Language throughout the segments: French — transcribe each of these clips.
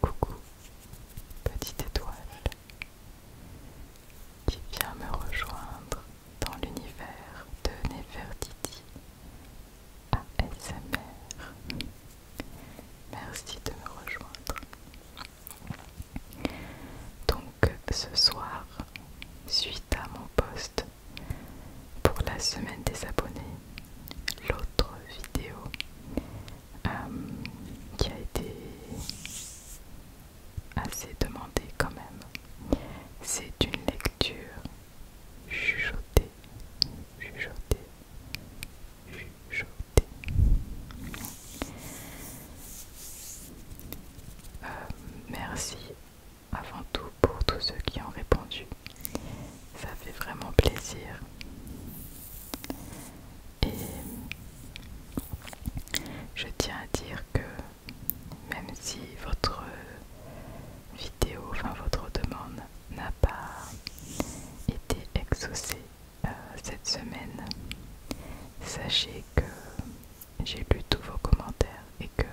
Coucou, petite étoile, qui vient me rejoindre dans l'univers de Nefertiti ASMR. Merci de me rejoindre. Donc ce soir, suite à mon post pour la semaine des abonnés, l'autre vidéo euh, qui a été assez demandée quand même, c'est une lecture chuchotée, chuchotée, chuchotée euh, merci avant tout pour tous ceux qui ont répondu. Ça fait vraiment plaisir. Et je tiens à dire que même si votre vidéo, enfin votre demande n'a pas été exaucée euh, cette semaine, sachez que j'ai lu tous vos commentaires et que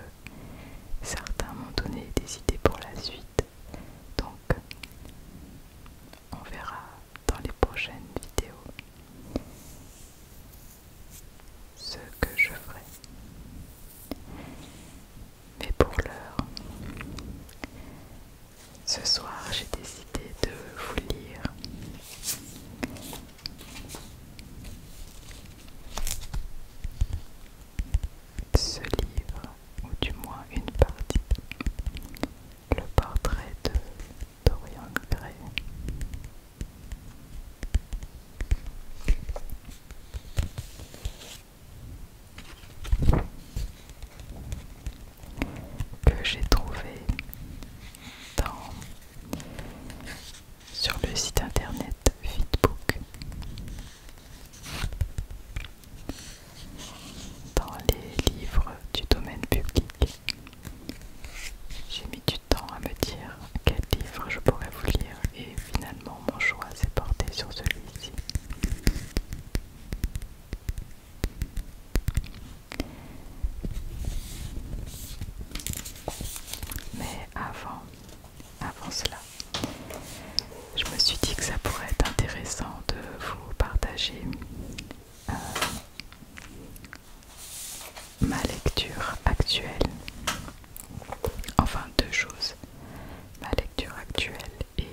certains m'ont donné des idées pour la suite. Donc, on verra dans les prochaines vidéos ce que je ferai. Mais pour l'heure, ce soir j'ai décidé de vous lire ce livre, ou du moins une partie, le portrait de Dorian Gray. Que j'ai trouvé dans sur le site internet Feedbook, Dans les livres du domaine public, j'ai mis du temps à me dire quel livre je pourrais vous lire et finalement mon choix s'est porté sur celui-ci. Mais avant, avant cela, je me suis dit que ça pourrait être intéressant de vous partager euh, ma lecture actuelle. Enfin, deux choses. Ma lecture actuelle et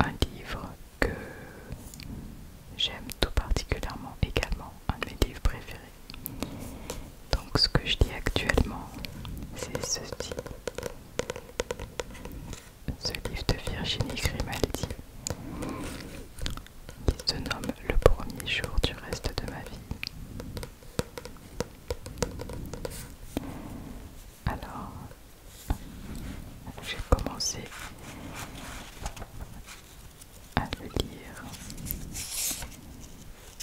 un livre que J'aime tout particulièrement également un de mes livres préférés. Donc ce que je lis actuellement, c'est ceci. Ce livre de Virginie Grimaldi qui se nomme Le premier jour du reste de ma vie. Alors, j'ai commencé à le lire.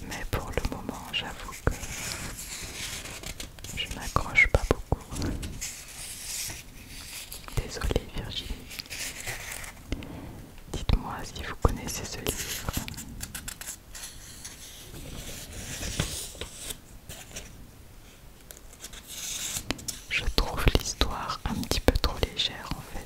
Mais pour le moment, j'avoue que je m'accroche pas beaucoup. Désolée Virginie. Dites-moi si vous connaissez ce livre. Je trouve l'histoire un petit peu trop légère en fait.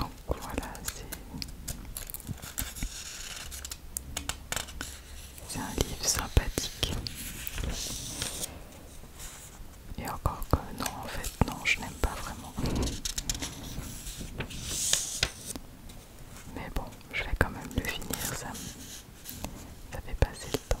Donc voilà, c'est c'est un livre sympathique. Et encore que non, en fait, non, je n'aime pas vraiment. Mais bon, je vais quand même le finir, ça, ça fait passer le temps.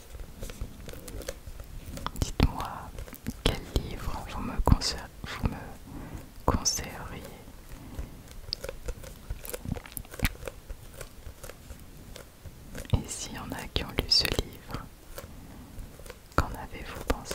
Dites-moi quel livre vous me, conseilleriez. Et s'il y en a qui ont lu ce livre, qu'en avez-vous pensé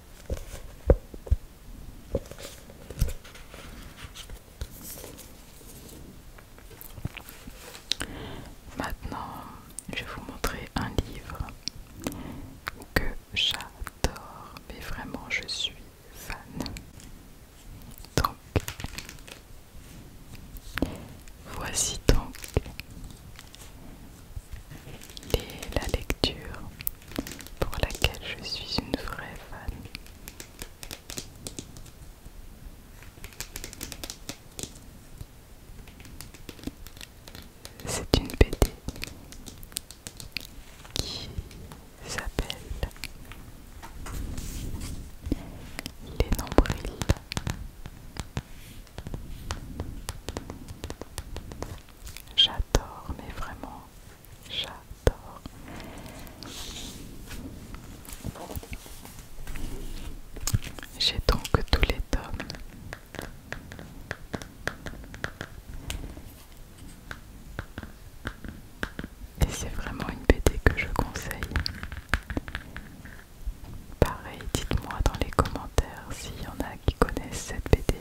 Maintenant, je vais vous montrer un livre que j'adore, mais vraiment je suis fan. Donc, voici donc et la lecture pour laquelle je suis une vraie fan. C'est une BD qui s'appelle Les nombrils J'adore, mais vraiment, j'adore. J'ai donc tous les tomes. Et c'est vraiment une BD que je conseille. Pareil, dites-moi dans les commentaires s'il y en a qui connaissent cette BD.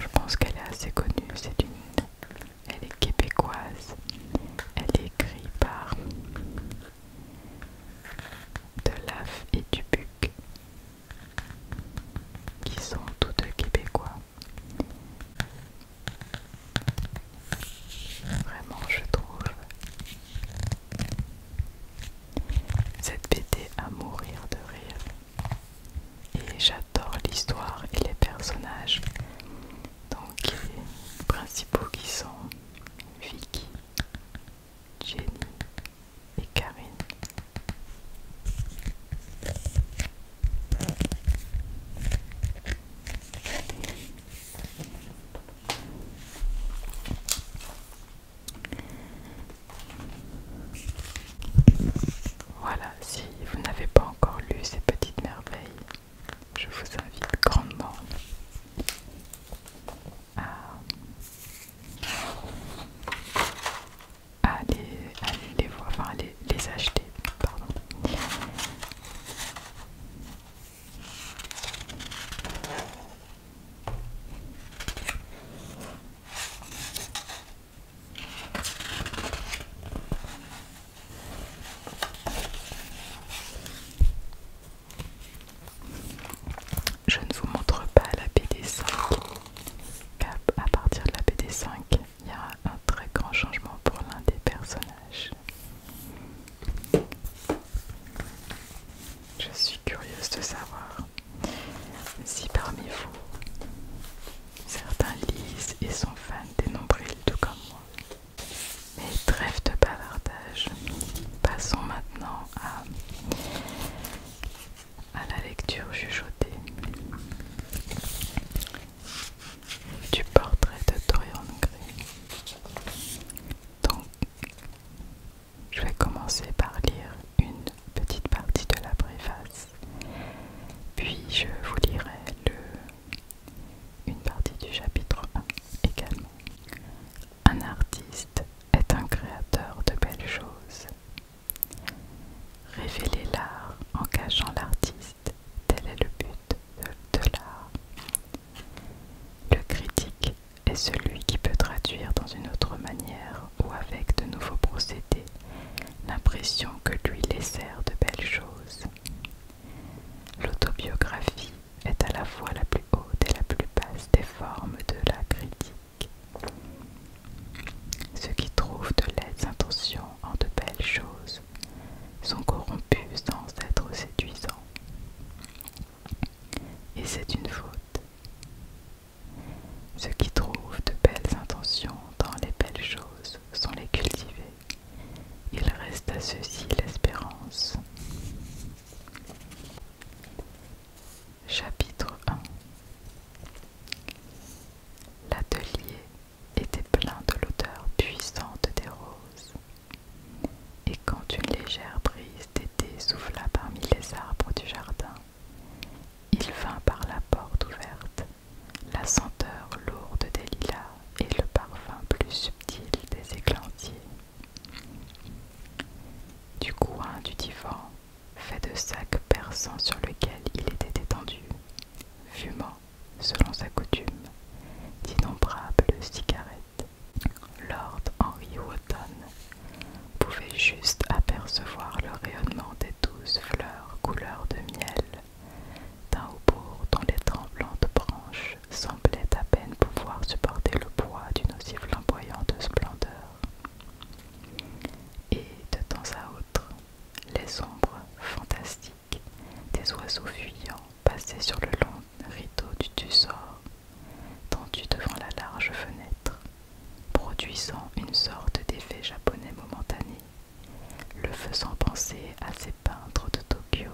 Je pense qu'elle est assez connue, c'est une... Elle est québécoise. Elle est écrite par Delaf et Dubuc, qui sont tous deux québécois. Vraiment, je trouve cette BD à mourir de rire. Et j'adore l'histoire et les personnages. Donc les principaux qui sont Vicky, Jenny et Karine. Voilà, si vous n'avez pas encore lu ces petites merveilles, je vous invite grandement à, les, acheter, je ne vous montre pas la BD5, à partir de la BD5, il y a un très grand changement pour l'un des personnages. Je suis curieuse de savoir si parmi vous, certains lisent et sont fans des nombrils tout comme moi. Mais trêve de bavardage, passons maintenant à, à la lecture chuchotée du portrait de Dorian Gray. Donc, je vais commencer par lire une petite partie de la préface, puis je vous lirai une partie du chapitre 1 également. Un artiste est un créateur de belles choses. Révéler l'art en cachant l'artiste, tel est le but de, de l'art. Le critique est celui qui peut traduire dans une autre manière ou avec de nouveaux procédés l'impression que lui laissèrent de belles choses. L'autobiographie est à la fois la plus haute et la plus basse des formes de la critique. Ceux qui trouvent de laides intentions en de belles choses sont corrompus sans être séduisants. Et c'est une faute. Ceux qui trouvent de belles intentions dans les belles choses sont les cultivés. Il reste à ceux-ci l'espérance. Chapitre 1 L'atelier était plein de l'odeur puissante des roses. Et quand une légère brise d'été souffla parmi les arbres du jardin, il vint par la porte ouverte, la senteur lourde des lilas et le parfum plus subtil des églantiers. Du coin du divan, fait de sacs perçants sur lequel il était étendu, fumant, selon sa coutume, d'innombrables cigarettes. Lord Henry Wotton pouvait juste apercevoir le rayonnement des douze fleurs couleur de miel d'un haubourg dont les tremblantes branches semblaient à peine pouvoir supporter le poids d'une aussi flamboyante splendeur. Et de temps à autre, les ombres fantastiques des oiseaux fuyants passaient sur le long rideau du tussor, tendu devant la large fenêtre produisant une sorte d'effet japonais momentané, le faisant penser à ces peintres de Tokyo,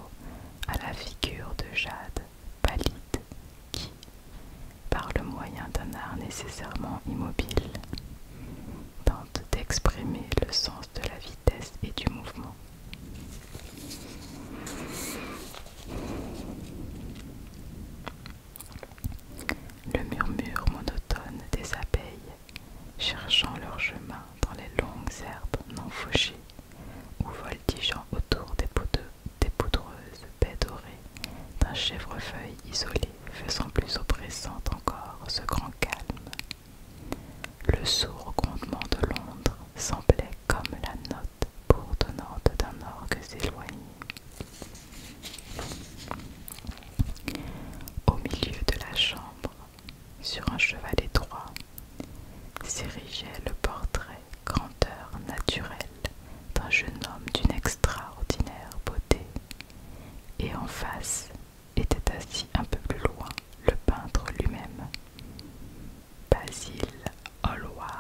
à la figure de jade pallide qui, par le moyen d'un art nécessairement immobile, tente d'exprimer le sens de la vitesse et du mouvement. Le murmure monotone des abeilles cherchant leur chemin dans les longues herbes non fauchées ou voltigeant autour des, des poudreuses baies dorées d'un chèvrefeuille isolé faisant plus oppressant encore ce grand calme. Le sourd grondement de Londres semblait comme la note bourdonnante d'un orgue éloigné. Au milieu de la chambre, sur un cheval étroit, s'érigeait le portrait grandeur naturelle d'un jeune homme d'une extraordinaire beauté, et en face était assis un peu plus loin le peintre lui-même, Basil Hallward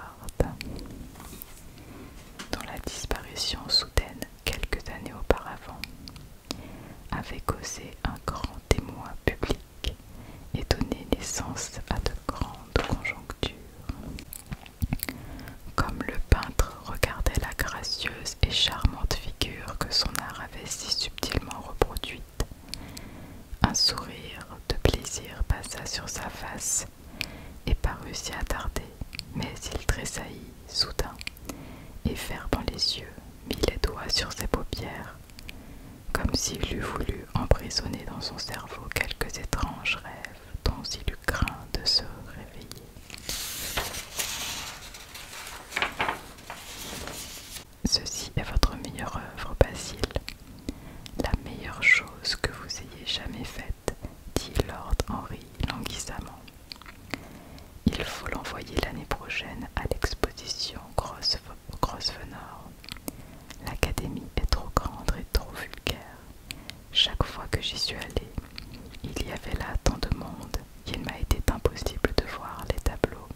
dont la disparition soudaine quelques années auparavant, avait causé un grand émoi public et donné naissance à de grandes conjonctures. Comme le peintre regardait la gracieuse et charmante figure que son art avait si subtilement reproduite, un sourire de plaisir passa sur sa face et parut s'y attarder, mais il tressaillit soudain, et fermant les yeux, mit les doigts sur ses paupières, comme s'il eût voulu emprisonner dans son cerveau quelques étranges rêves dont il eût craint de se réveiller. Ceci est votre meilleure œuvre, Basile, la meilleure chose que vous ayez jamais faite dit Lord Henry languissamment. Il faut l'envoyer l'année prochaine à l'exposition Grosvenor. L'académie est trop grande et trop vulgaire. Chaque fois que j'y suis allé, il y avait là tant de monde qu'il m'a été impossible de voir les tableaux.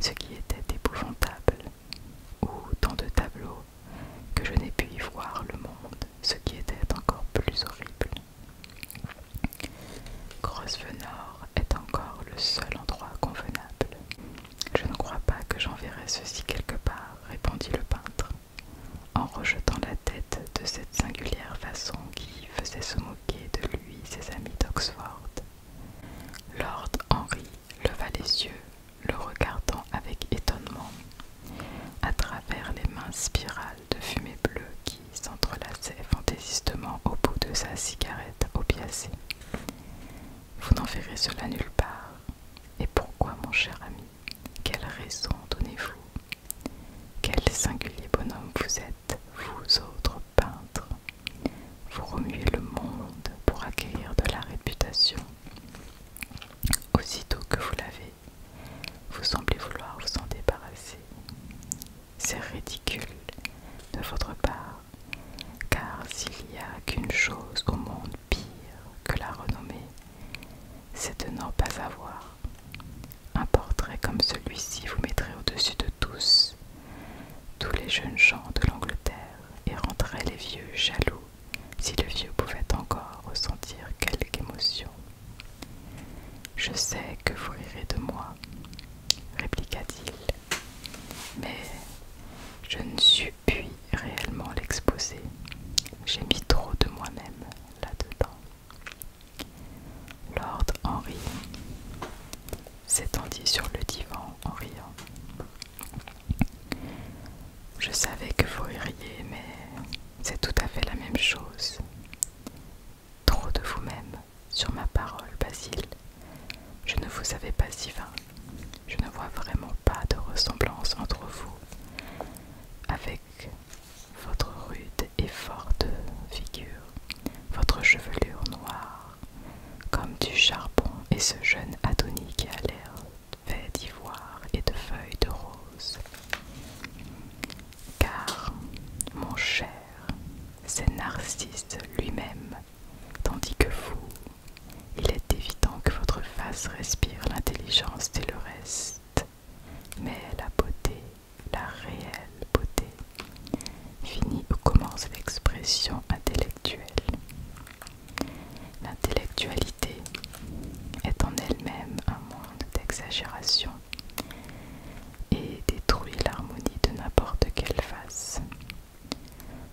Ce qui était épouvantable. Ou tant de tableaux que je n'ai pu y voir le monde, ce qui était encore plus horrible. Grosvenor est encore le seul endroit convenable. Je ne crois pas que j'enverrai ceci quelque part, répondit le peintre, en rejetant la tête de cette singulière façon qui faisait se moquer de lui ses amis d'Oxford. Lord Henry leva les yeux, le regardant avec étonnement à travers les mains spirales de fumée bleue qui s'entrelaçaient fantaisistement au bout de sa cigarette opiacée. Vous n'en verrez cela nulle part. Et pourquoi, mon cher ami Quelle raison donnez-vous Quel singulier bonhomme vous êtes, vous autres peintres Vous remuez le monde pour acquérir de la réputation. Aussitôt que vous l'avez vous semblez vouloir vous en débarrasser. C'est ridicule de votre part, car s'il n'y a qu'une chose au monde pire que la renommée, c'est de n'en pas avoir. Un portrait comme celui-ci vous mettrait au-dessus de tous. Tous les jeunes gens de l'Angleterre et rendrait les vieux jaloux si le vieux pouvait encore ressentir quelque émotion. Je sais que vous rirez de moi, répliqua-t-il, mais je ne suis pu réellement l'exposer. J'ai mis trop de moi-même là-dedans. Lord Henry s'étendit sur le divan en riant. Je savais que vous ririez, mais c'est tout à fait la même chose. Trop de vous-même, sur ma parole, Basile. Je ne vous avais pas si vain. Je ne vois vraiment pas de ressemblance entre vous, avec votre rude et forte figure, votre chevelure noire, comme du charbon et ce jeune Adonis qui a l'air fait d'ivoire et de feuilles de rose. Car, mon cher, c'est Narcisse lui-même, tandis que vous, il est évident que votre face respire l'intelligence et le reste, mais la beauté, la réelle beauté, finit ou commence l'expression intellectuelle. L'intellectualité est en elle-même un monde d'exagération et détruit l'harmonie de n'importe quelle face.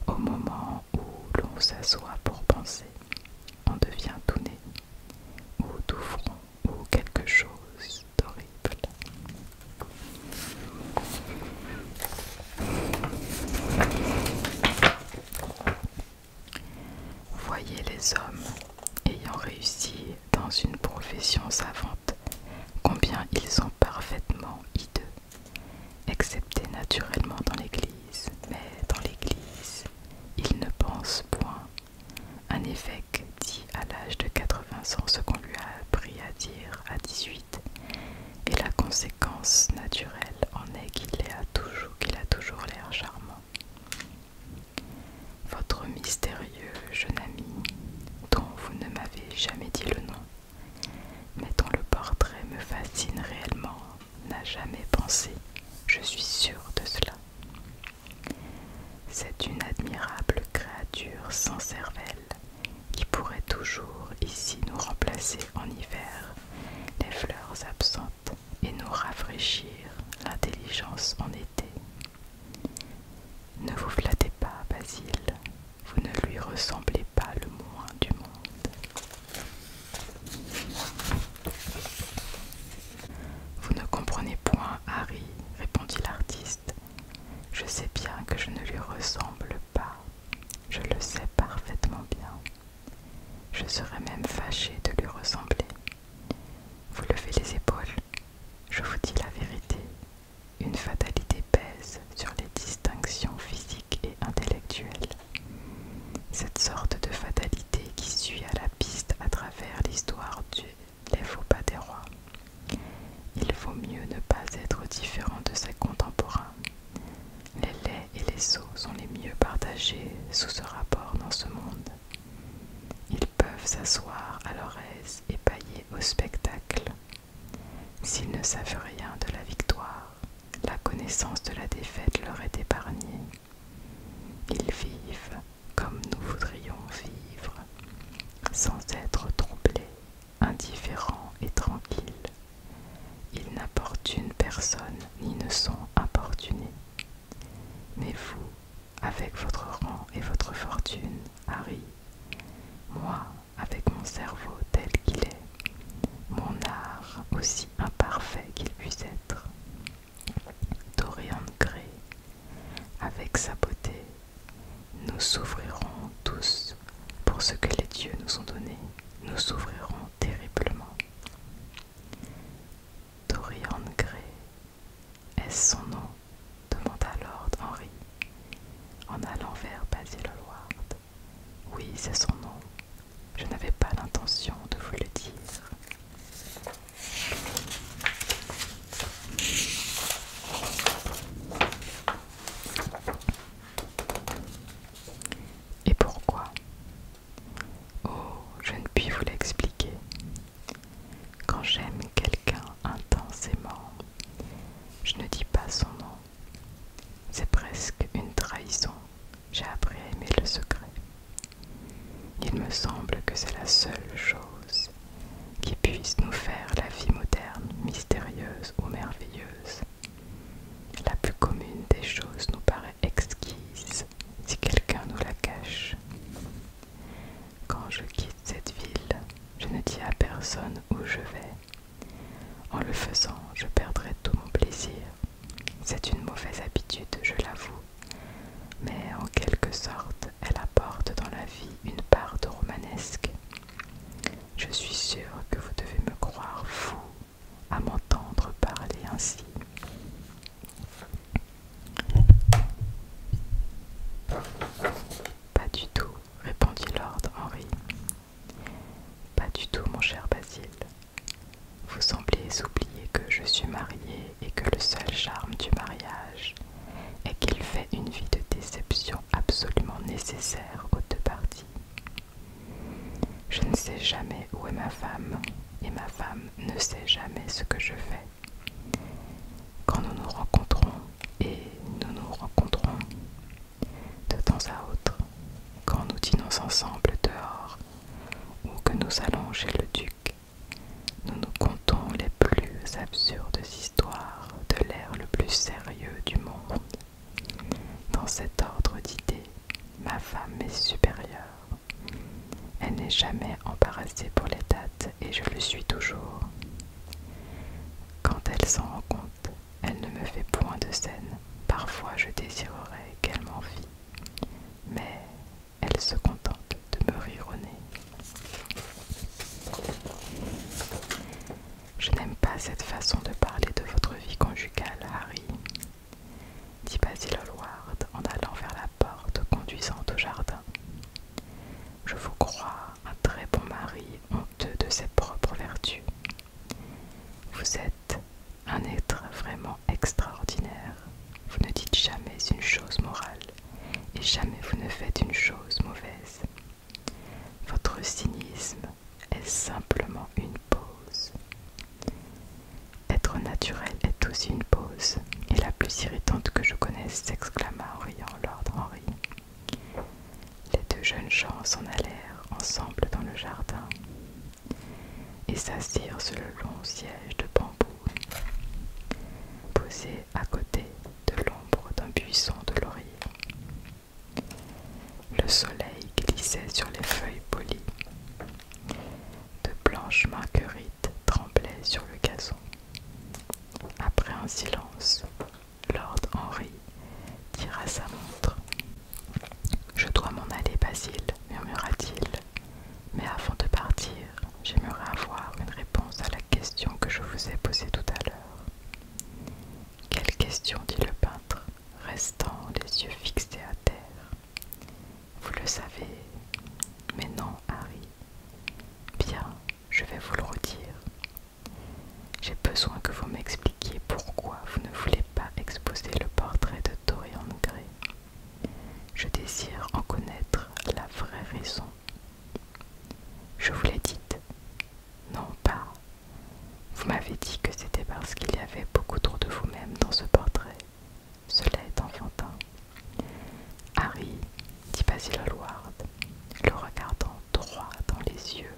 Au moment où l'on s'assoit pour penser, on devient tout nez, ou tout front, ou quelque chose d'horrible. Voyez les hommes ayant réussi dans une profession savante, combien ils sont parfaitement hideux, excepté naturellement dans l'Église, mais dans l'Église, ils ne pensent point. Un évêque dit à l'âge de 80 ans ce qu'on lui a appris à dire à 18, et la conséquence naturelle en est qu'il a toujours l'air charmant. Votre mystérieux jeune ami, dont vous ne m'avez jamais dit le nom, mais dont le portrait me fascine réellement, n'a jamais pensé, je suis sûre de cela. C'est une admirable créature sans cervelle qui pourrait toujours ici nous remplacer en hiver les fleurs absentes et nous rafraîchir l'intelligence en été. Ne vous flattez pas, Basile, vous ne lui ressemblez pas le moins du monde. Vous ne comprenez point, Harry, répondit l'artiste. Je sais bien que je ne lui ressemble pas, je le sais parfaitement bien. Je serais même fâché de lui ressembler. Vous levez les épaules. Je vous dis la vérité. Une fatalité pèse sur les distinctions physiques et intellectuelles. Cette sorte de fatalité qui suit à la piste à travers l'histoire du Les faux pas des rois. Il vaut mieux ne pas être différent de ses contemporains. Les laits et les sots sont les mieux partagés sous ce rapport dans ce monde. Ils peuvent s'asseoir à leur aise et pailler au spectacle. S'ils ne savent rien de la victoire, la connaissance de la défaite leur est épargnée. Ils vivent comme nous voudrions vivre, sans être troublés, indifférents et tranquilles. Ils n'importunent personne ni ne sont importunés. Mais vous, avec votre rang et votre fortune, Harry, moi avec mon cerveau tel qu'il est, mon art aussi imparfait qu'il puisse être, Dorian Gray, avec sa beauté, nous souffrirons tous pour ce que les dieux nous ont donné, nous souffrirons terriblement. Dorian Gray, est-ce son nom demanda Lord Henry en allant vers Basil Hallward. Oui, c'est son nom. Je n'avais pas l'intention de vous le dire. Et pourquoi Oh, je ne puis vous l'expliquer. Quand j'aime quelqu'un intensément, je ne dis pas son nom. C'est presque une trahison. J'ai appris à aimer le secret. Il me semble que c'est la seule chose qui puisse nous faire la vie moderne, mystérieuse ou merveilleuse. La plus commune des choses nous paraît exquise si quelqu'un nous la cache. Quand je quitte cette ville, je ne dis à personne où je vais. En le faisant, je perdrai tout mon plaisir. C'est une mauvaise habitude, je l'avoue, mais en quelque sorte, elle apporte dans la vie une part de romanesque. Je suis sûre que vous devez me croire fou à m'entendre parler ainsi. Pas du tout, répondit Lord Henry. Pas du tout, mon cher Basile. Vous semblez oublier que je suis mariée et que le seul charme du mariage est qu'il fait une vie de déception absolument nécessaire aux deux parties. Je ne sais jamais où est ma femme et ma femme ne sait jamais ce que je fais. Quand nous nous rencontrons, et nous nous rencontrons de temps à autre, quand nous dînons ensemble dehors, ou que nous allons chez le duc, nous nous contons les plus absurdes histoires de l'air le plus sérieux du monde. Dans cet ordre d'idées, ma femme est supérieure. Elle n'est jamais embarrassée pour les dates et je le suis toujours. Quand elle s'en rend compte, elle ne me fait point de scène. Parfois je désirerais qu'elle m'en m'envie, mais elle se contente de me rire au nez. Je n'aime pas cette façon de parler de votre vie conjugale, Harry dit Basil Hallward en allant vers la porte conduisant au jardin. Je vous crois un très bon mari honteux de ses propres vertus. Vous êtes un être vraiment extraordinaire. Vous ne dites jamais une chose morale et jamais vous ne faites une chose mauvaise. Votre cynisme est simplement une pause. Être naturel est aussi une pause, et la plus irritante que je connaisse, s'exclama en riant Lord Henry. Les deux jeunes gens s'en allèrent ensemble dans le jardin et s'assirent sur le long siège de bambou, posé à côté de l'ombre d'un buisson de laurier. Le soleil glissait sur les feuilles polies. De blanches marqueries tremblait sur le gazon. Après un silence, Lord Henry tira sa montre. Je dois m'en aller, Basile, murmura-t-il. Mais avant de partir, j'aimerais avoir une réponse à la question que je vous ai posée tout à l'heure. Quelle question dit le peintre, restant les yeux fixés à terre. Vous le savez. Mais non, Harry. Bien, je vais vous le redire. J'ai besoin que vous m'expliquiez pourquoi vous ne voulez pas exposer le portrait de Dorian Gray. Je désire en connaître la vraie raison. Je vous l'ai dit, Non, pas. Vous m'avez dit que c'était parce qu'il y avait beaucoup trop de vous-même dans ce portrait cela est enfantin. Harry, dit Basil Hallward, le regardant droit dans les yeux,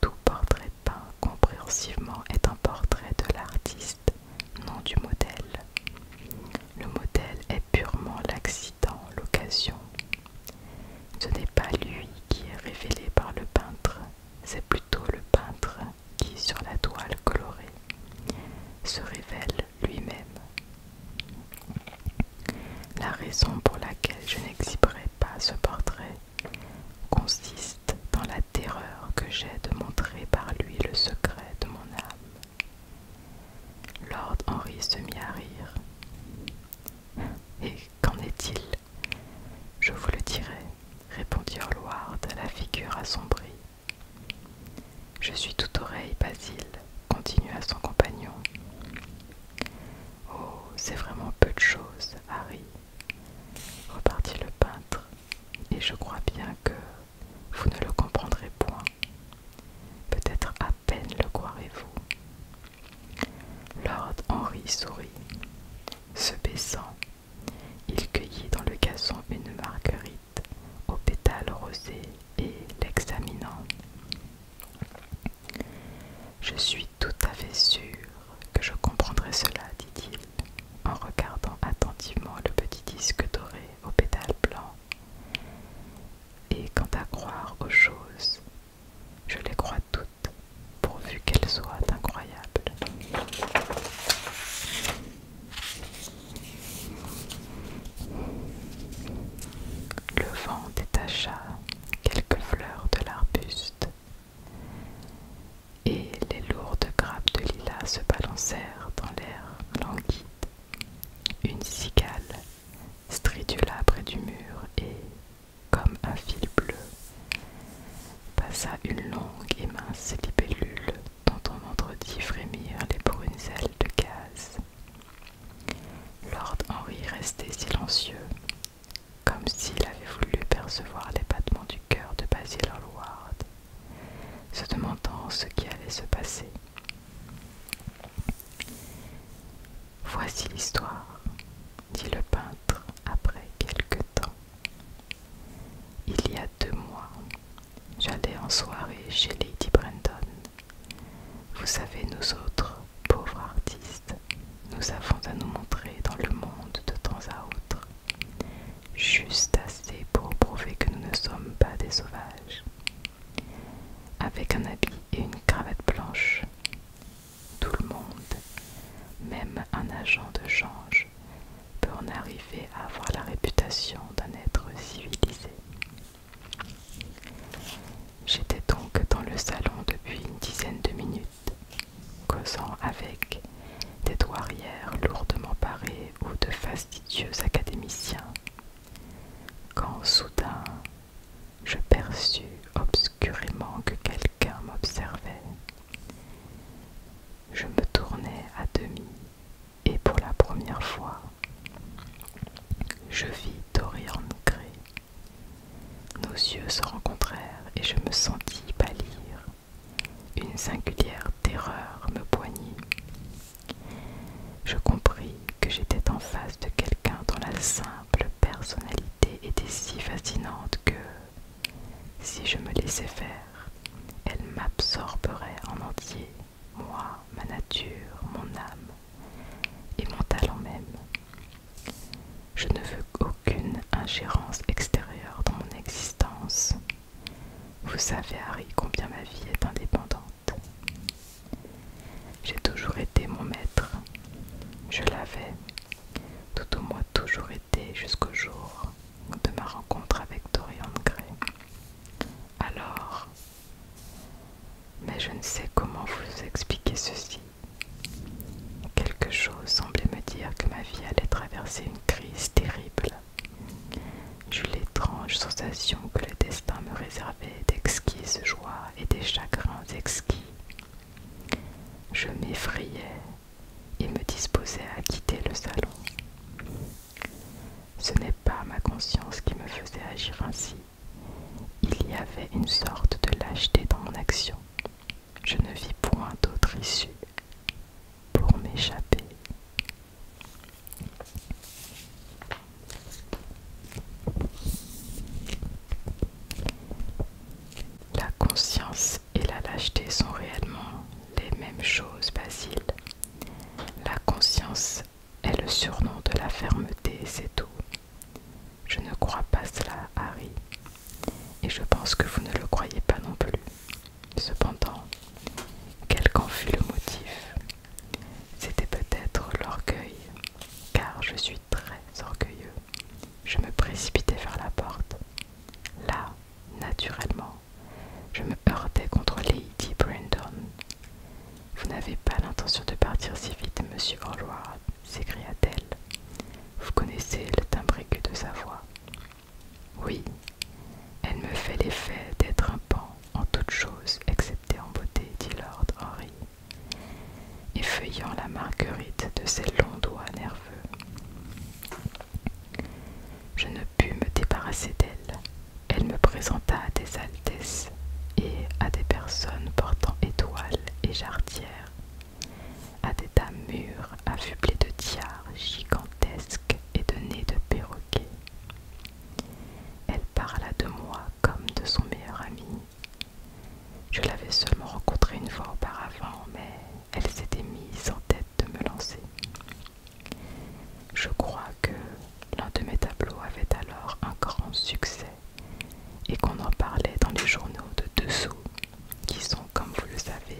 tout portrait peint compréhensivement est un portrait de l'artiste, non du modèle. Le modèle est purement l'accident, l'occasion. Ce n'est pas lui qui est révélé par le peintre, c'est plutôt le peintre qui, sur la toile colorée, se révèle lui-même. La raison pour laquelle je n'exhiberai pas ce portrait consiste dans la terreur que j'ai de montrer par lui le secret de mon âme. Lord Henry se mit à rire. Et qu'en est-il Je vous le dirai, répondit de la figure assombrie. Je suis toute oreille, Basile, continua son compagnon. Oh, c'est vraiment peu de choses, Harry, repartit le peintre, et je crois bien que vous ne le comprendrez point. Peut-être à peine le croirez-vous. Lord Henry sourit. Se baissant, il cueillit dans le gazon une marguerite au pétale rosé et l'examinant. Je suis tout à fait sûre que je comprendrai cela, dit-il, en regardant attentivement le petit disque doré au pétale blancs. Et quant à croire aux choses, je les crois toutes, pourvu qu'elles soient incroyables. Le vent détacha quelques fleurs de l'arbuste et les lourdes grappes de lilas se balancèrent dans l'air languide. Une cigale stridula près du mur et, comme un fil bleu, passa une longue et mince libellule dont on entendit frémir les brunes ailes de gaz. Lord Henry restait silencieux, comme s'il avait voulu percevoir les battements du cœur de Basil Hallward, se demandant ce qui allait se passer. Voici l'histoire, dit le peintre après quelque temps. Il y a deux mois, J'allais en soirée chez Lady Brenton. Vous savez, nous autres, pauvres artistes, nous avons à nous montrer dans le monde de temps à autre. Juste assez pour prouver que nous ne sommes pas des sauvages. Avec un habit et une cravate blanche, tout le monde, même un agent de change, peut en arriver à avoir la réputation d'un être civilisé. J'étais donc dans le salon depuis une dizaine de minutes, causant avec des douairières lourdement parées ou de fastidieux académiciens, quand soudain je perçus obscurément que quelqu'un m'observait. Je me tournai à demi et pour la première fois, je vis Dorian Gray. Nos yeux se rencontrèrent et je me sentis pâlir. Une singulière terreur me poignit. Je compris que j'étais en face de quelqu'un dont la simple personnalité était si fascinante que, si je me laissais faire, elle m'absorberait en entier moi, ma nature, mon âme et mon talent même. Je ne veux aucune ingérence extérieure dans mon existence. Vous savez, Harry, combien ma vie est indépendante. J'ai toujours été mon maître. Je l'avais, tout au moins toujours été jusqu'au jour de ma rencontre avec Dorian Gray alors. Mais je ne sais comment vous expliquer ceci. Quelque chose semblait me dire que ma vie allait traverser une crise terrible. J'eus l'étrange sensation que le destin me réservait d'exquises joies et des chagrins exquis. Je m'effrayais et me disposais à quitter le salon. Ce n'est pas ma conscience qui me faisait agir ainsi. Il y avait une sorte de lâcheté dans mon action. Je ne vis point d'autre issue pour m'échapper. La conscience et la lâcheté sont réellement les mêmes choses, Basile. La conscience est le surnom de la fermeté, c'est tout. Je ne crois pas cela, Harry, et je pense que vous ne le croyez pas non plus. Cependant, quel qu'en fût le motif, c'était peut-être l'orgueil, car je suis très orgueilleux. Je me précipitais vers la porte. Là, naturellement, je me heurtais contre Lady Brandon. Vous n'avez pas l'intention de partir si vite, monsieur Horlois s'écria-t-elle. Vous connaissez le timbre de sa voix. Oui, elle me fait l'effet d'être un pan en toutes choses, excepté en beauté, dit Lord Henry, effeuillant la marguerite de ses longs doigts nerveux. Je ne pu me débarrasser d'elle. Elle me présenta à des altesses et à des personnes portant étoiles et jarretières, à des dames mûres affublées de tiares gigantesques et de nez de perroquets. Elle parla de moi comme de son meilleur ami. Je l'avais seulement rencontrée une fois auparavant, mais elle s'était mise en tête de me lancer. Je crois que l'un de mes tableaux avait alors un grand succès et qu'on en parlait dans les journaux de dessous, qui sont, comme vous le savez,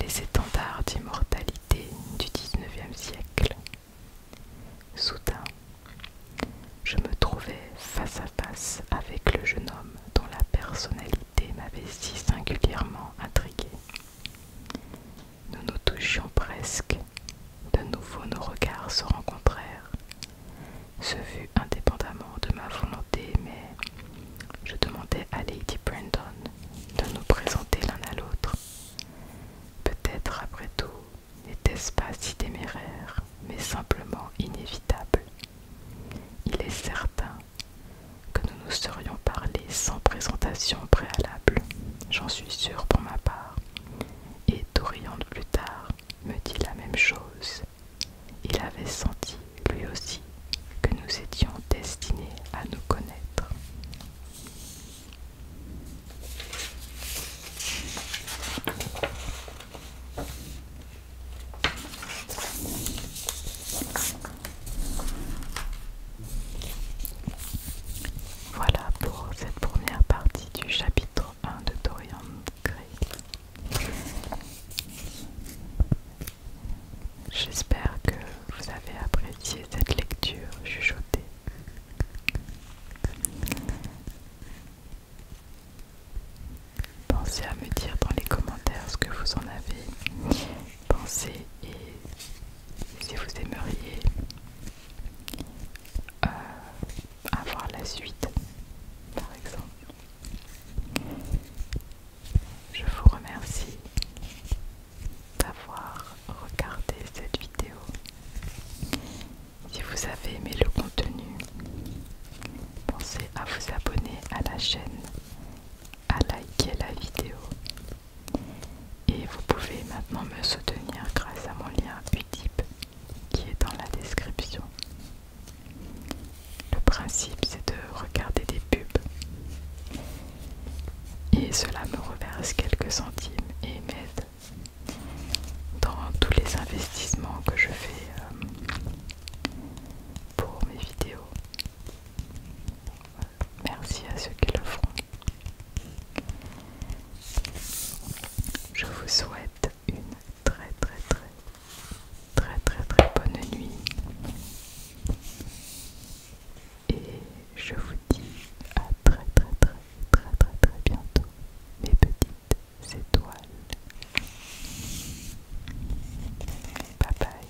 les étendards d'immortalité du XIXe siècle. Soudain, je me trouvais face à face avec le jeune homme dont la personnalité m'avait si singulièrement intriguée. Nous nous touchions presque. De nouveau nos regards se rencontrèrent. Ce vu indépendamment de ma volonté, mais je demandais à Lady Brandon de nous présenter l'un à l'autre. Peut-être après tout n'était-ce pas si téméraire, mais simplement inévitable. Il est certain que nous nous serions parlés sans présentation préalable j'en suis sûr pour ma part. Et Dorian plus tard me dit la même chose. Il avait senti, lui aussi, que nous étions destinés à nous connaître. Voilà pour cette première partie du chapitre 1 de Dorian Gray. J'espère que vous avez apprécié cette lecture chuchotée. Pensez à me dire dans les commentaires ce que vous en avez pensé et si vous aimeriez avoir euh, la suite, par exemple. Je vous remercie d'avoir regardé cette vidéo. Si vous avez aimé le contenu, pensez à vous abonner à la chaîne, à liker la vidéo et vous pouvez maintenant me soutenir grâce à mon lien Utip qui est dans la description. Le principe c'est de regarder des pubs et cela me reverse quelques centimes et m'aide dans tous les investissements que je fais euh, pour mes vidéos. Merci à ceux qui le feront. Je vous souhaite une très très très très très très bonne nuit et je vous dis à très très très très très très bientôt mes petites étoiles. Bye bye.